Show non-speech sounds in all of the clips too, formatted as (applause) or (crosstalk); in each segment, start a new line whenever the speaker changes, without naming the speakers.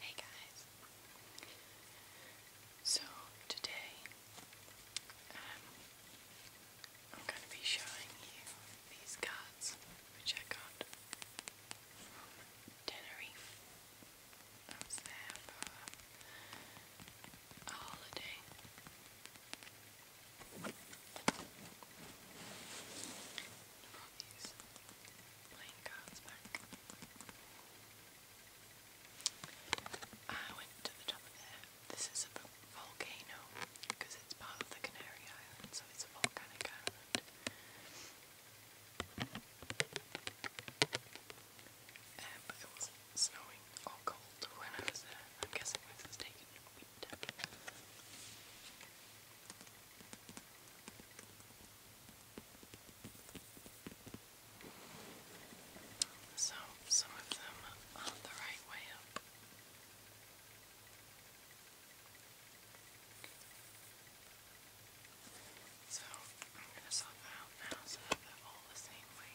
Hey guys. So today um, I'm going to be showing you these cards which I got from Tenerife. I was there for a holiday. I went to the top of there. This is a volcano because it's part of the Canary Islands, so it's a volcanic island. Um, it wasn't snowing or cold when I was there. I'm guessing this is taken a winter. So some of them are the right way up. So I'm going to sort that out now so they're all the same way.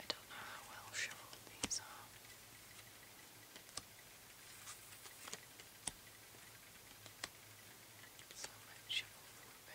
I don't know how well shoveled these are. So I might shovel well.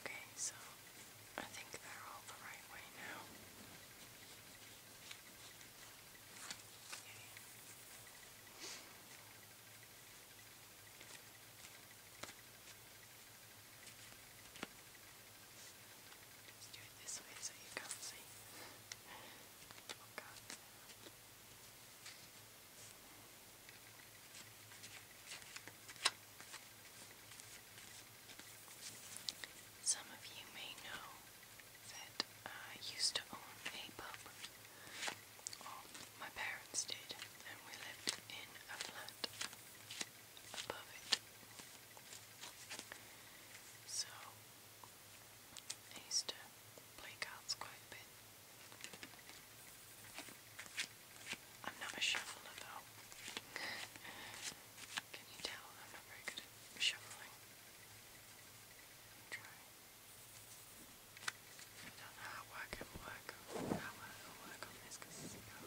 Okay, so I think they're all the right way now. Okay let you Some of you may know that I used to own a pub. my parents did, and we lived in a flat above it. So, I used to play cards quite a bit. I'm not a shoveler though. Can you tell? I'm not very good at shoveling. I don't know how I can work, how I can work on this because, you know,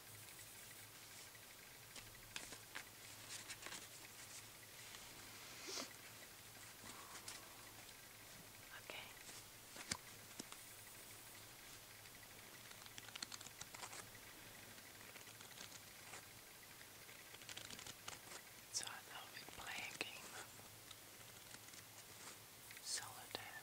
Okay. So I thought we'd play a game of solitaire.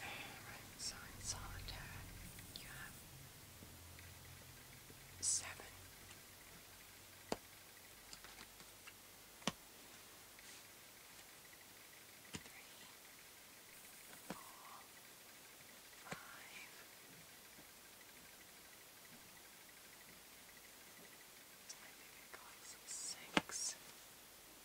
Alright, so in solitaire you have seven. Three, four, five, so I think I got some six. Seven,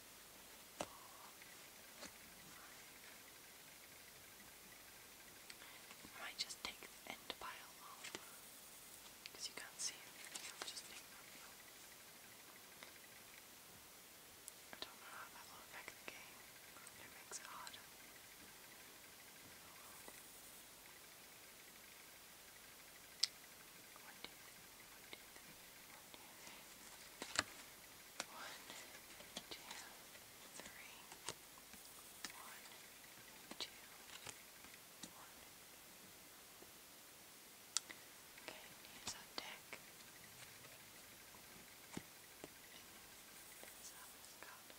I might just take the end pile off because you can't see i don't know how that will affect the game. It makes it harder. Oh Okay, knees on deck. That's all it's called.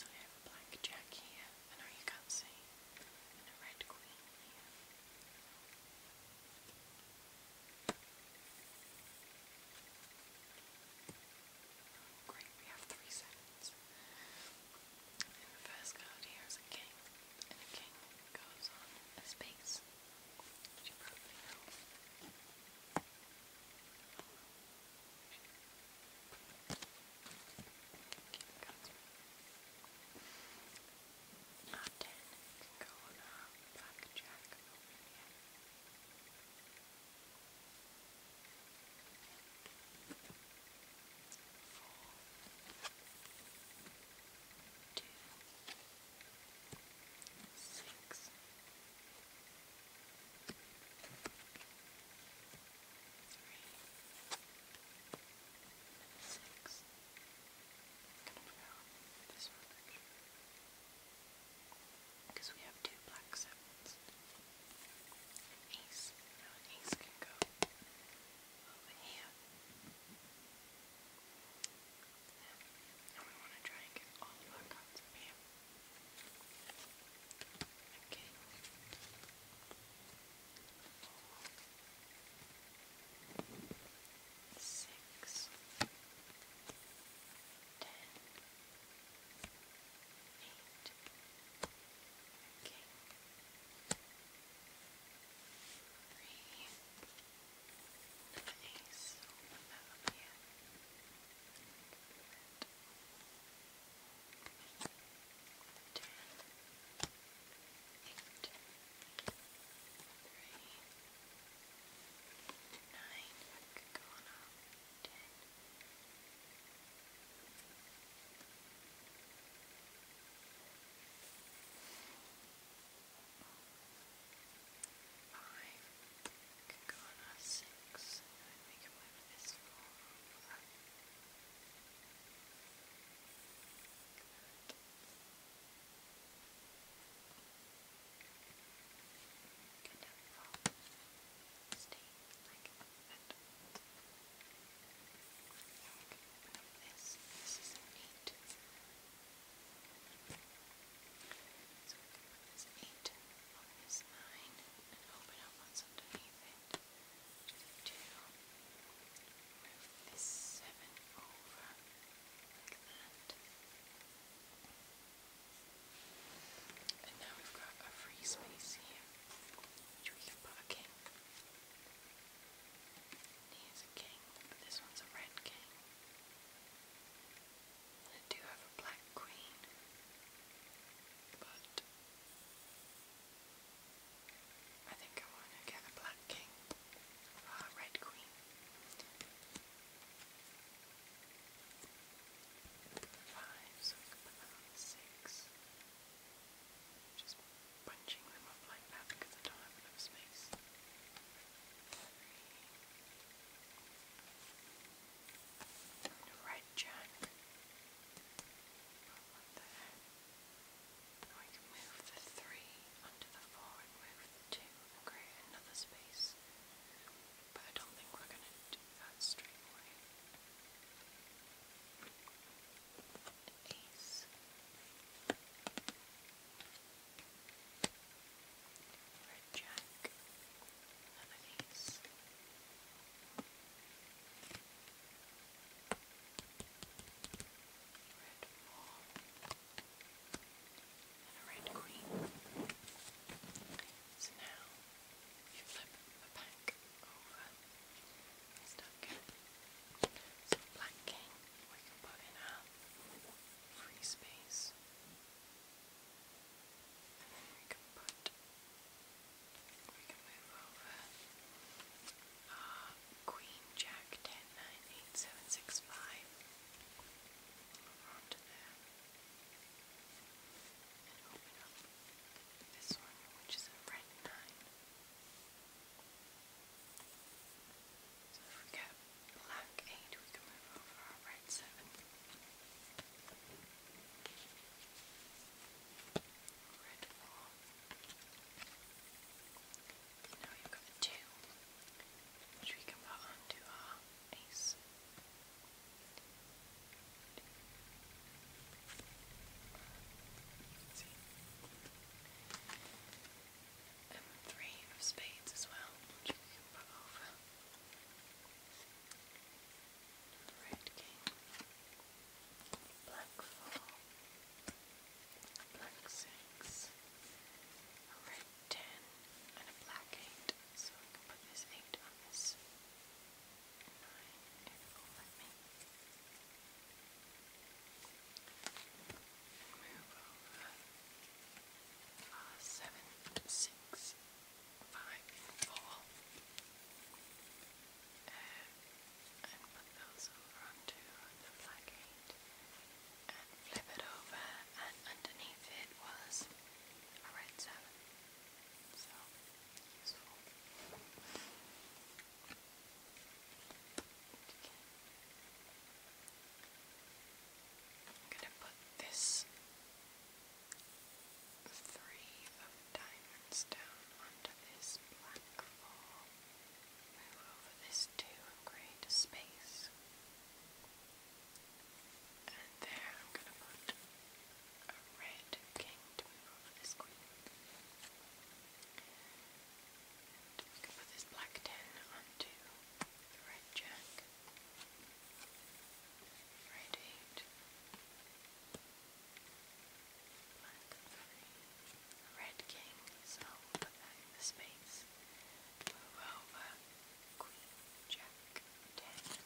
So we have a black jack here, I know you can't see, and a red queen here. Oh, great, we have three seconds. And the first card here is a king, and a king goes on a space, you probably know. Not ten. It can go on a blackjack over here. Four. Two. Six. Three. Six kind of Because we have two black sevens. ace. Now ace can go over here. Now we want to try and get all of cards Okay six, ten, eight. Okay. Three. Another ace. We'll put that up here. And ten. Eight. Seven three, nine, could go on up, ten. Five, could go on up, six, and then make a move with this four over that. Good and don't fall. Stay like that. Now I can open up this. This is an 8. So we can put this 8 on this 9 and open up what's underneath it. 2, move this seven over like that. And now we've got a free space here, we can put a king. And a king, this one's a red king. I do have a black queen, but I think I want to get a black king a uh, red queen. Five, six. Just bunching them up like that because I don't have enough space. red jack. Put one there. I'm going to move the 3 onto the 4 and move the 2 and create another space. But I don't think we're going to do that straight away. An ace. Another ace red wall, and a red queen. So now you flip the pack over. It's not good. So black king, we can put in our free space. And then we can put, we can move over Queen Jack 109875. Move on to that. And open up this one, which is a red 9. So if we get black 8, we can move over our red 7. Red 4. Now you have got 2, which we can put onto our ace. let three of spades as well, which we can put over red king. Black four, a black six, a red ten, and a black eight. So I can put this eight on this nine if it will let me. And move over uh, seven, six, five, four. And uh, and put those over onto the flaggate and flip it over and underneath it was red 7. So, I'm going to put this three of diamonds down onto this black ball Move over this two and create a space. And there I'm going to put a red king to move over this queen. we can put this black ten onto the red jack. Red eight. Black three. Red King, so we the space. Move over. Queen, Jack, 10.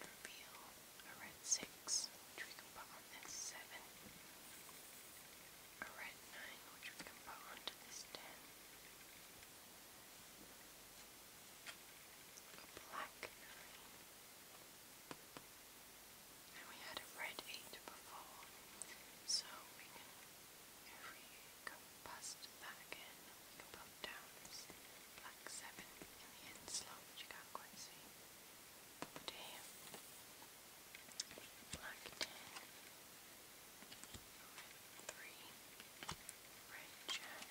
Reveal a red 6, which we can put on this 7. A red 9, which we can put onto this 10. A black 9. And we had a red 8 before, so we can, if go past that again, we can put down black 7 in the end slot, which you can't quite see. Put Black 10. 3. Red jack.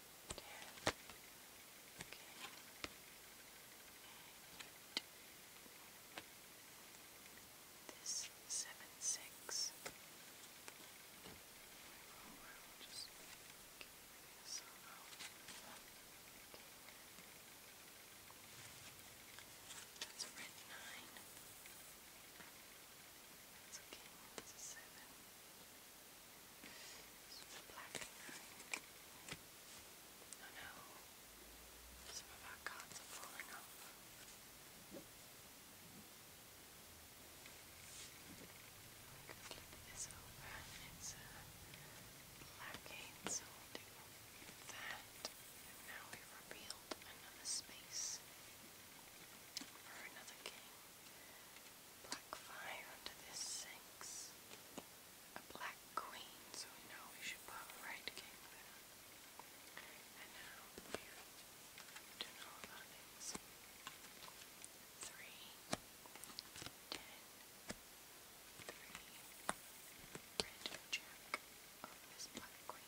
This seven six. That's a That's okay. That's seven. Some black nine. Oh no, some of our cards are falling off. I can flip this over it's a black eight, that. now we've revealed another space for another game. Black five under this six. A black queen, so we know we should put a right king there. And now you do all that is. Three, ten, three, red jack on this black queen.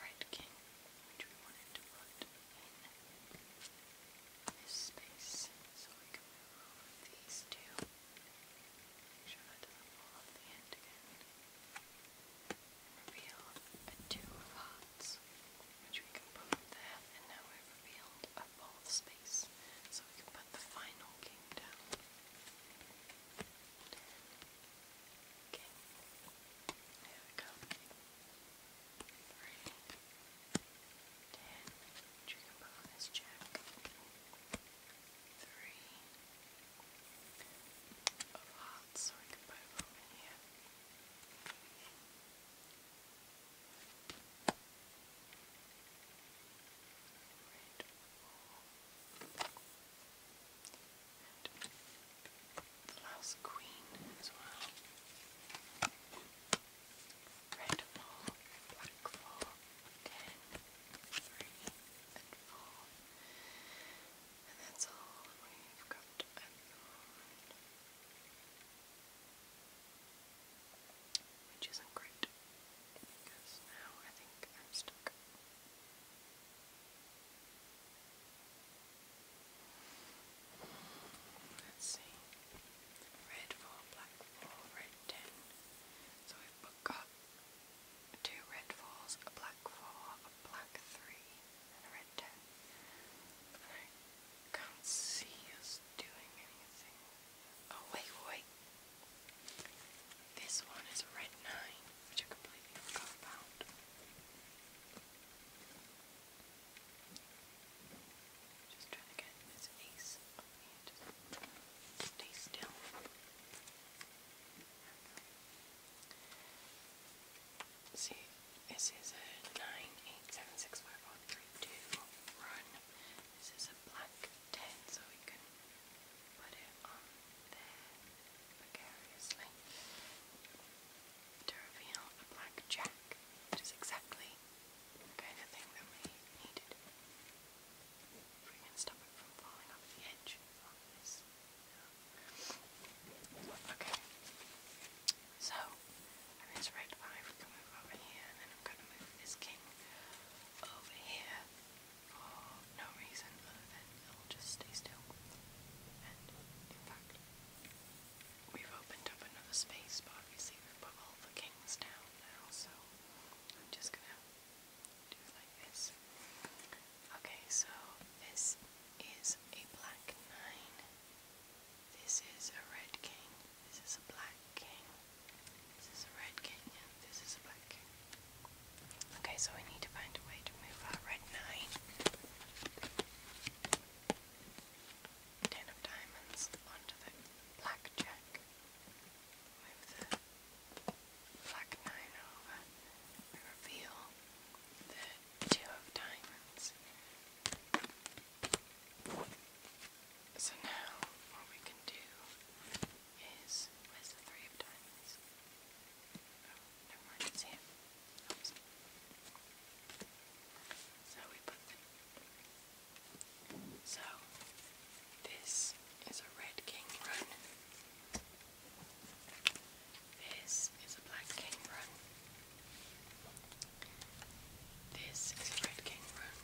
red king, which we wanted to put in this space, so we can remove these two. Make sure that doesn't fall off the end again. Reveal the two of which we can put there, and now we revealed a fourth space, so we can put the final king down. Okay. There we go. Three. Ten. Trigger bonus check. Three. A lot, so I can put them in here. Red. Four the last queen as well. Red four, black four, ten, three, and four. And that's all we've got Which isn't great because now I think I'm stuck. Let's see. Red 4, black 4, red 10. So we've got two red 4s, a black 4, a black 3, and a red 10. And I can't see us doing anything. Oh, wait, wait. This one is red 9, which I completely forgot about. Just trying to get this ace up here. Just stay still. See, this is a 9876513 run. This is a black 10, so we can put it on there to reveal a black jack, which is exactly the kind of thing that we needed. If we can stop it from falling off the edge Okay. So, I red five, we can over here, and I'm gonna move this king over here for (gasps) no reason other than it'll just stay still. And in fact, we've opened up another space, obviously we put all the kings down I'm just gonna do like this. Okay, so this is a black nine. This is a red king. This is a black king. This is a red king, and this is a black king. Okay, so we need to find a way to move our red 9. 10 of diamonds onto the black jack. Move the black 9 over. We reveal the 2 of diamonds. So now what we can do is where's the three of diamonds? Oh, so this is a red king run. This is a black king run. This is a red king run.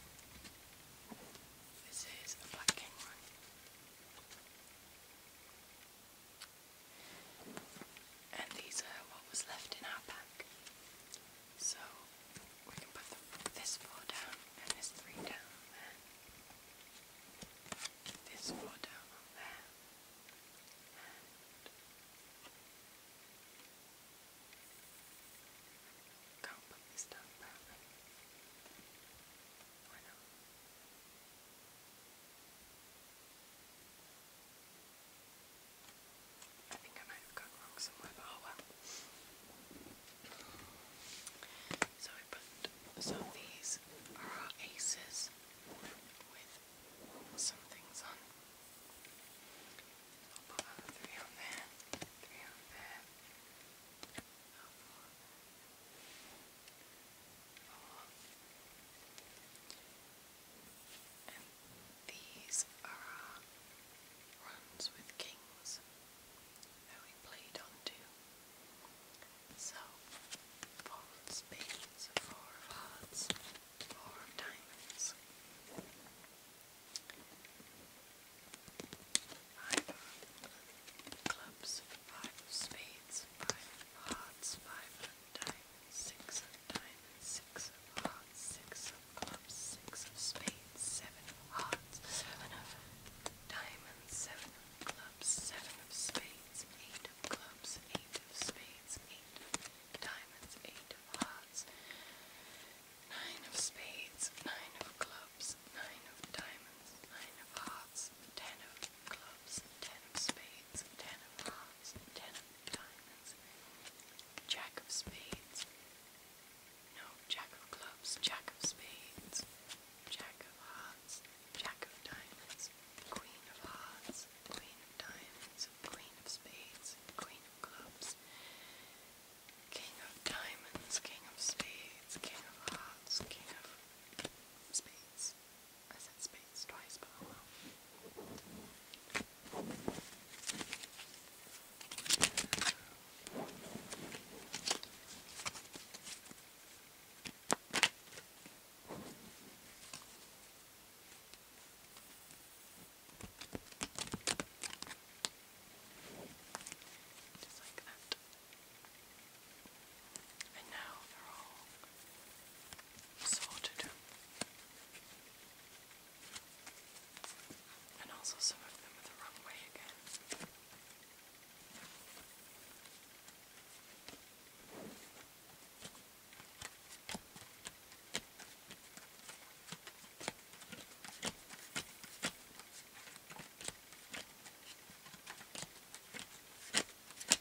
This is a black king run. And these are what was left in our pack. So we can put this four down and this three down there. This four down And can't down Bueno. I think I might have got wrong somewhere, oh well. So I put so these are our aces with some things on. I'll put another three on there, three on there, oh, four, these are runs with kings that we played on too. So, four of spades, four of hearts, four of diamonds, five of clubs, Five of spades, five of hearts, five of diamonds, six of diamonds, six of hearts, six of clubs, six of spades, seven of hearts, seven of diamonds, seven of clubs, seven of spades, eight of clubs, eight of spades, eight of diamonds, eight of hearts, nine of spades, nine of clubs, nine of diamonds, nine of hearts, ten of clubs, ten of spades, ten of hearts, ten of diamonds, jack of spades, no, jack of clubs, jack of spades, jack of hearts, jack of diamonds, queen of hearts, queen of diamonds, queen of spades, queen of clubs, king of diamonds, king of spades, king of hearts, king of spades. I said space twice, but oh well. Just like that. And now they're all sorted. And also some of them are the wrong way again. Now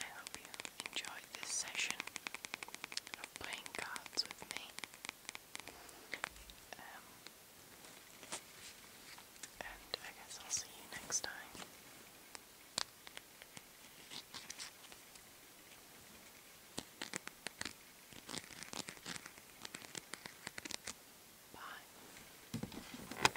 I hope you enjoyed this session of playing cards with me. Um, and I guess I'll see you next time. Bye.